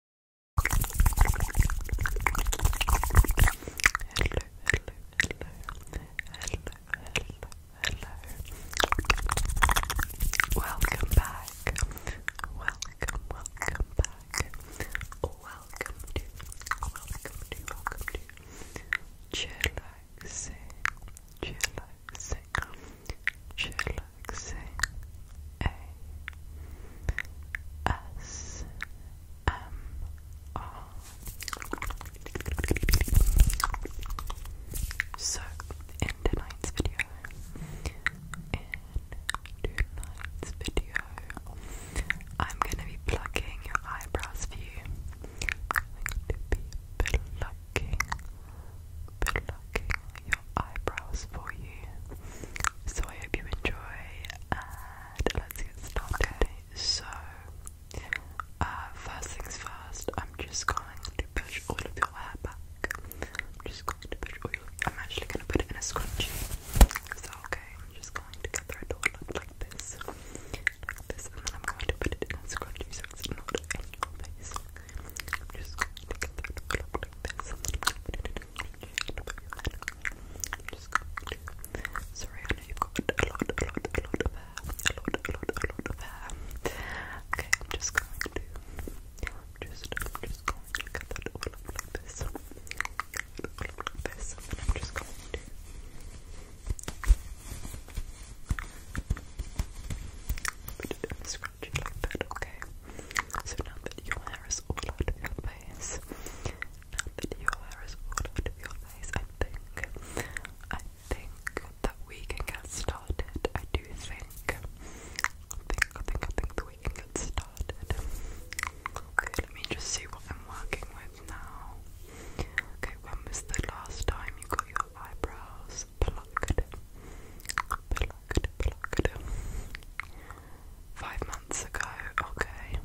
hello. Welcome back. Welcome, welcome back. Welcome to, welcome to, welcome to. Chillaxing, chillaxing, chillaxing relaxing So, in tonight's video, in tonight's video, I'm gonna be plucking your eyebrows for you. I'm going to be plucking, plucking your eyebrows for you. So I hope you enjoy and let's get started. so uh, first things first, I'm just going to push all of your hair back. I'm just going to push all your I'm actually gonna put it in a scrunchie. Is okay? I'm just going to gather it all up like this. this, and then I'm going to put it in a scrunchie so it's not in your face. I'm just going to gather up like this just Sorry, I know you a lot, a lot, a lot of hair. Okay, I'm just going to just, just going to cut that all up like this. like this. I'm just going to scratch it like that, okay? So now that your hair is all out of your face, now that your hair is all out of your face, I think, I think that we can get started. I do think, think, think, think that we can get started. Okay, let me just see what I'm working with now. Okay, when was the last time you got your eyebrows Five months ago, okay.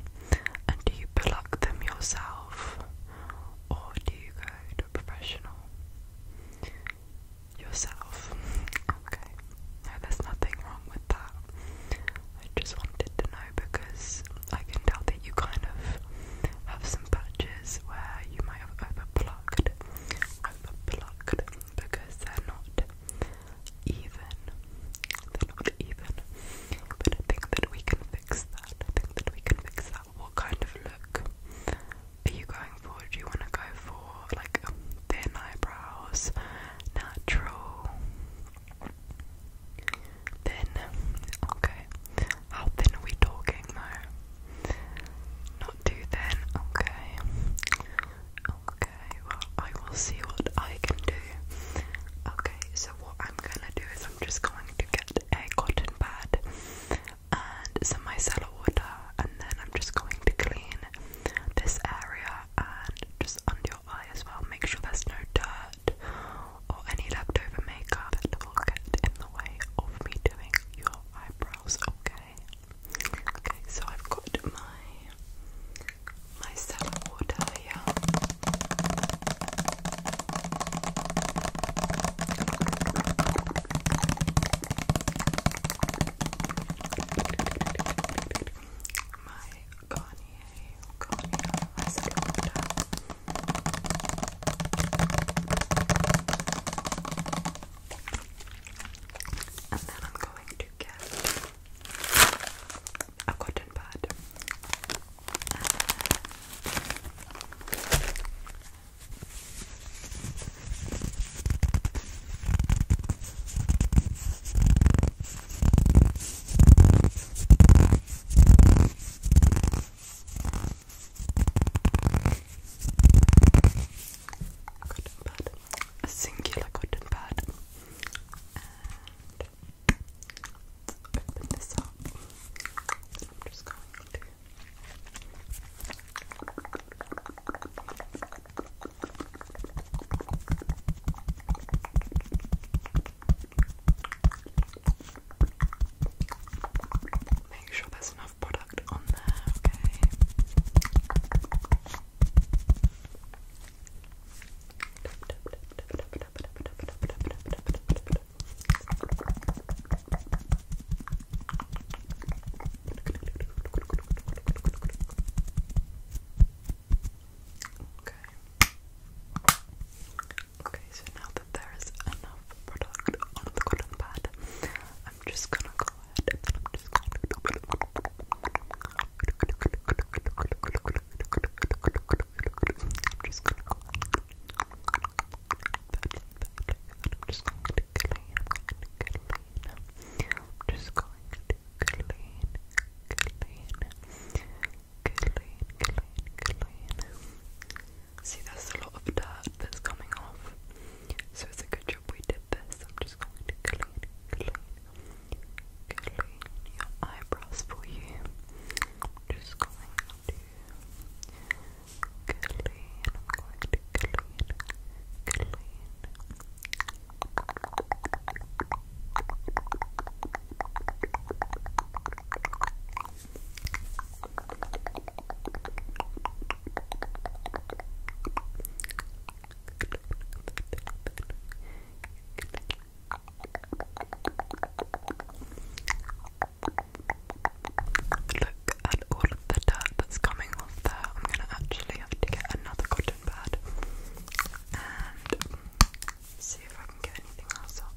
And do you pluck them yourself? Or do you go to a professional? Yourself. Okay. there's nothing wrong with that. I just wanted to know because I can tell that you kind of have some patches where you might have overplucked. Overplucked because they're not even. They're not even. But I think that we can fix that. I think that we can fix that. What kind of look are you going for? Do you want to go for like thin eyebrows, natural, thin? Okay. How thin are we talking though? Not too thin, okay. Okay, well, I will see what I can do. Okay, so what I'm gonna do is I'm just going to get a cotton pad and some micellar water, and then I'm just going to clean this area and just under your eye as well. Make sure there's no dirt or any leftover makeup that will get in the way of me doing your eyebrows, okay? Okay, so I've got my my salad water here. My Garnier, Garnier, my and then I'm going to get a cotton pad cotton pad, a singular cotton pad, open this up. just going to. Make sure there's no product on there, okay? Okay. Okay, so now there is enough product on the cotton I'm just gonna go ahead and I'm just gonna I'm just gonna go I'm just going to clean, I'm just going to clean, See, there's a lot of dirt that's coming off, so it's a good job we did this. I'm just going to clean, clean, clean your eyebrows for you. I'm just going to clean, I'm going to clean, clean. Look at all of the dirt that's coming off there. I'm gonna actually have to get another cotton pad and see if I can get anything else off.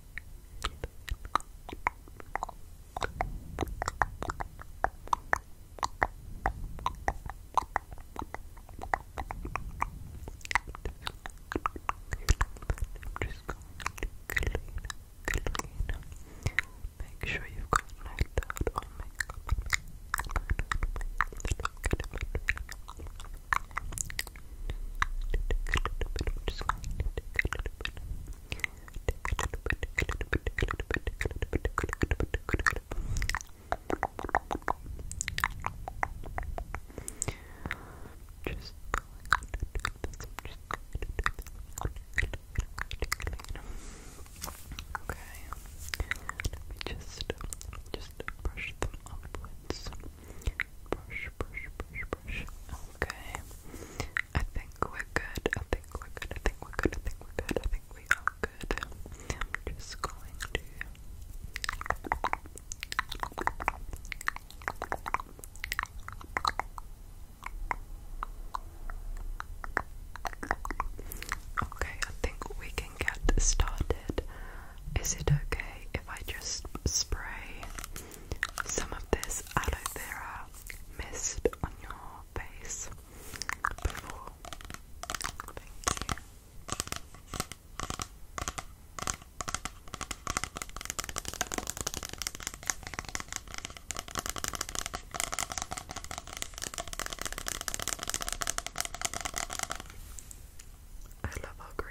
just going to clean, clean. Make sure you've got no dirt or makeup. Just going to take a little bit. Just Okay. just just brush them upwards. Brush, brush, brush, brush. Okay. I think we're good. I think we're good. I think we're good. I think we're good. I think we are good. I'm just going to Okay, I think we can get started. Is it okay if I just spray some of this aloe vera mist on your face before. I love our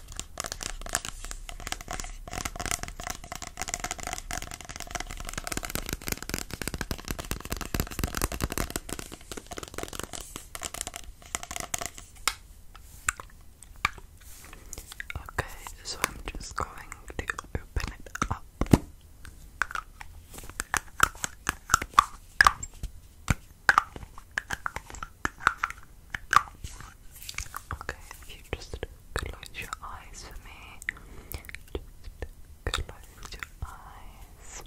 Okay, so I'm just going to open it up. Okay, if you just close your eyes for me. Just close your eyes.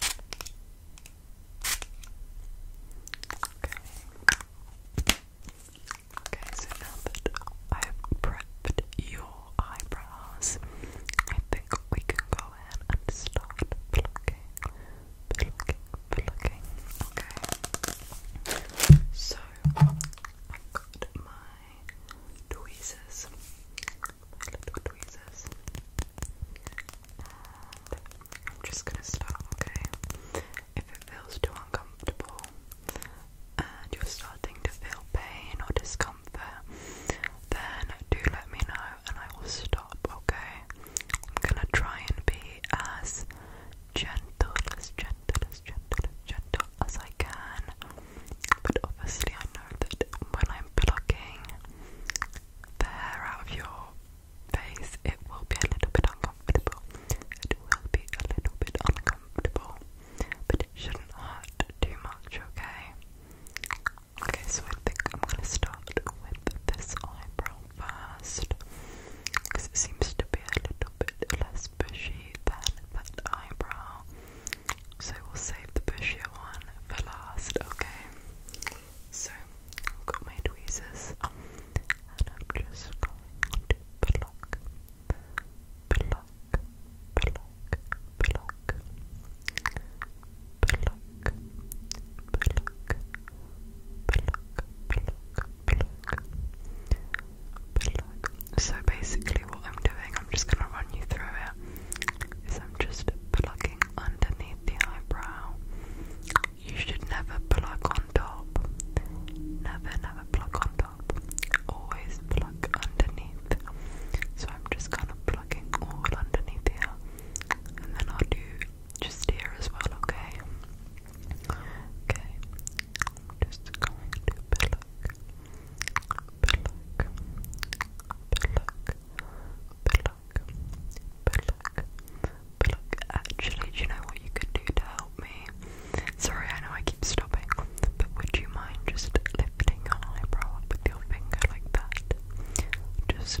Okay. Okay, so now that I've prepped your eyebrows, I think we can go in and start plucking, Okay. So i got my tweezers. little tweezers. I'm just gonna start, okay? If it feels too uncomfortable and you're starting to feel pain or discomfort, then do let me know and I will stop, okay? I'm gonna try and be as gentle, as gentle, as gentle, as I can. But obviously, I know that when I'm plucking the hair out of your face, it will be a little bit uncomfortable. It will be a little bit uncomfortable, but it shouldn't hurt too much, okay? Okay, so I think I'm gonna start with this eyebrow first because it seems to be a little bit less bushy than that eyebrow. So we'll save the bushier one for last, okay? So I've got my tweezers and I'm just going to pluck, pluck, pluck, pluck, pluck, pluck, pluck, pluck, so basically, what I'm doing, I'm just gonna run you through it. Is I'm just plucking underneath the eyebrow. You should never pluck on top. Never, never pluck on top. Always pluck underneath. So I'm just kind of plucking all underneath here, and then I'll do just here as well, okay? Okay. just going to pluck, pluck, pluck, pluck, pluck, pluck. Actually, do you know what you could do to help me? Sorry, I know I keep stopping, but would you mind just lifting your eyebrow with your finger like that? Just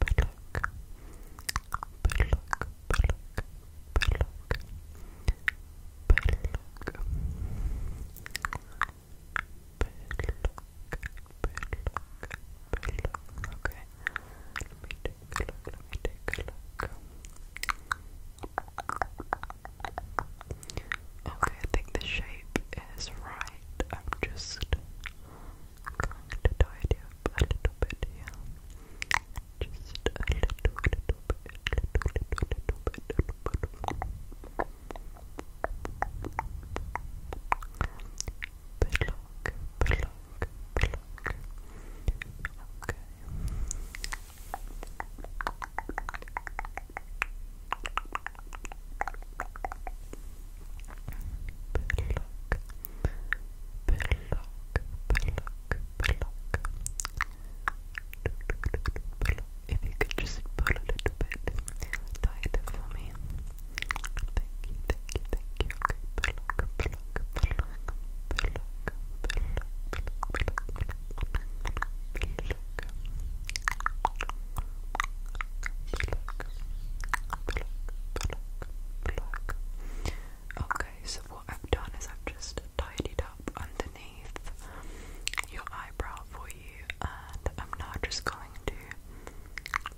Bullock, Bullock, Bullock, Bullock, Bullock, Bullock, Okay, let me take a look. Let me take a look. Okay, I think the shape is right. I'm just going to tidy up a little bit here. Just a little, little bit, little, little, little bit, little bit. Block, block, block. Okay. Pluck, Block, block, block. If you could just pull a little bit tighter for me. Thank you, thank you, thank you. Okay, block, block, block, block, block, block, block, block. Pluck, Okay, so what I've done is I've just tidied up underneath your eyebrow for you, and I'm now just going to do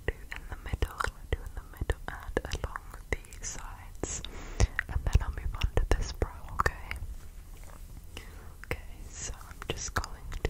in the middle, do in the middle, and along the sides, and then I'll move on to this brow, okay? Okay, so I'm just going to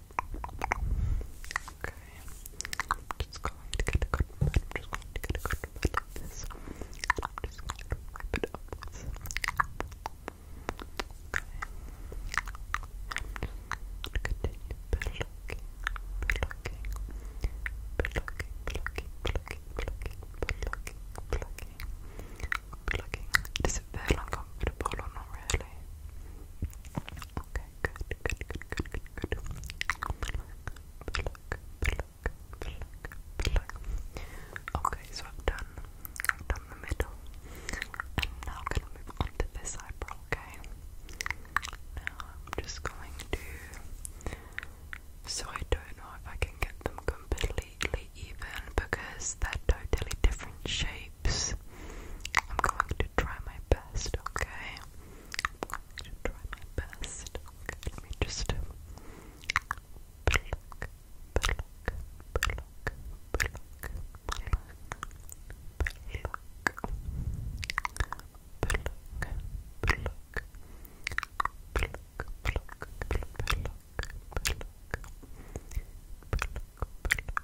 Okay. just going to get a cotton just going to get a cotton this. just going to rip it upwards. Okay. I'm continue plucking, plucking, plucking, plucking, plucking, plucking, plucking, plucking, uncomfortable or not really? Okay. Okay, so I've done, done the middle. I'm gonna move on to this eyebrow, okay? Now I'm just going to. So I don't know if I can get them completely even because they're totally different shapes. I'm going to try my best, okay? to try my best. Okay, let me just pluck, pluck, pluck, pluck, pluck, pluck. Pluck, pluck, pluck, pluck, pluck, pluck, pluck, pluck, pluck,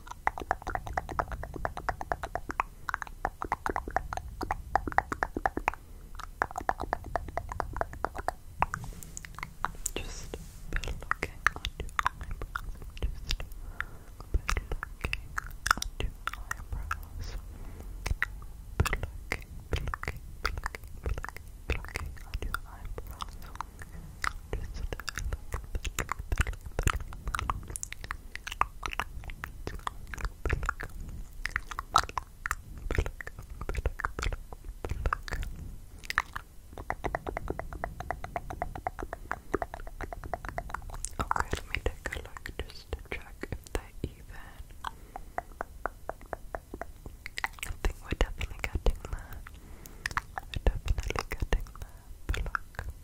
Just by looking at your eyebrows. Just by looking at your eyebrows. Plucking, plucking, plucking, plucking, plucking at your eyebrows. Just a Okay, let me take a look just to check if they even. I think we're definitely getting there. We're definitely getting there. Pluck,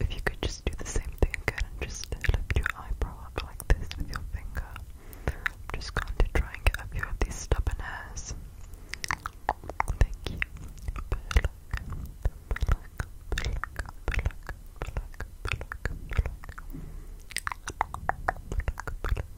If you could just do the same thing and just lift your eyebrow up like this with your finger. just going to try and get a few these stubborn hairs. Thank you.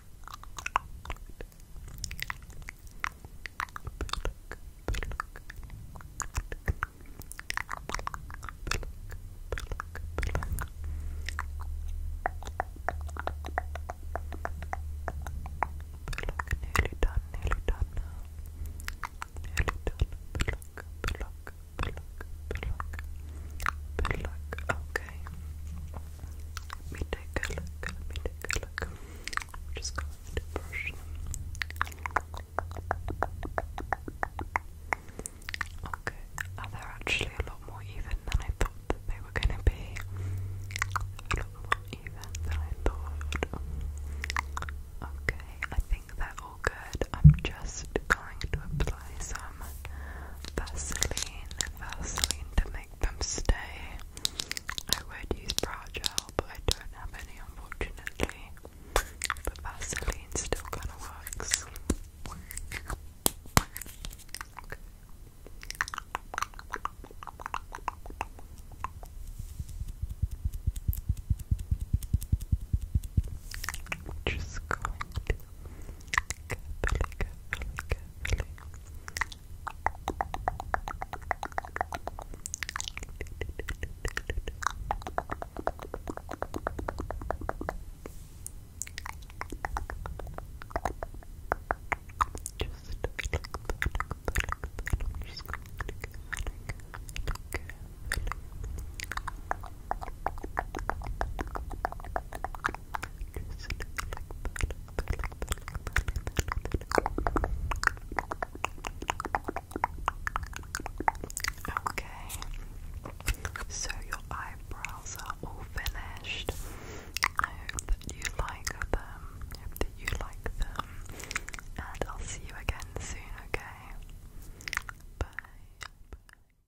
Nearly done, nearly done now. Nearly done. Pluck, pluck, pluck, pluck, pluck. Okay. Let me take a look. Let me take a look. I'm just going to brush Okay, oh, they actually a lot more even than I thought that they were going to be. A lot more even than I thought. Okay, I think they're all good. I'm just going to apply apply some Vaseline, Vaseline to make them stay. I would use brow gel, but I don't have any unfortunately. But Vaseline still kind of works. Okay. Just going to carefully, carefully, carefully. Just look, look, look, look, look. Just look, look, look, look, look. Okay, so your eyebrows are all finished. I hope that you like them. I hope that you like them. And I'll see you again soon, okay? Bye.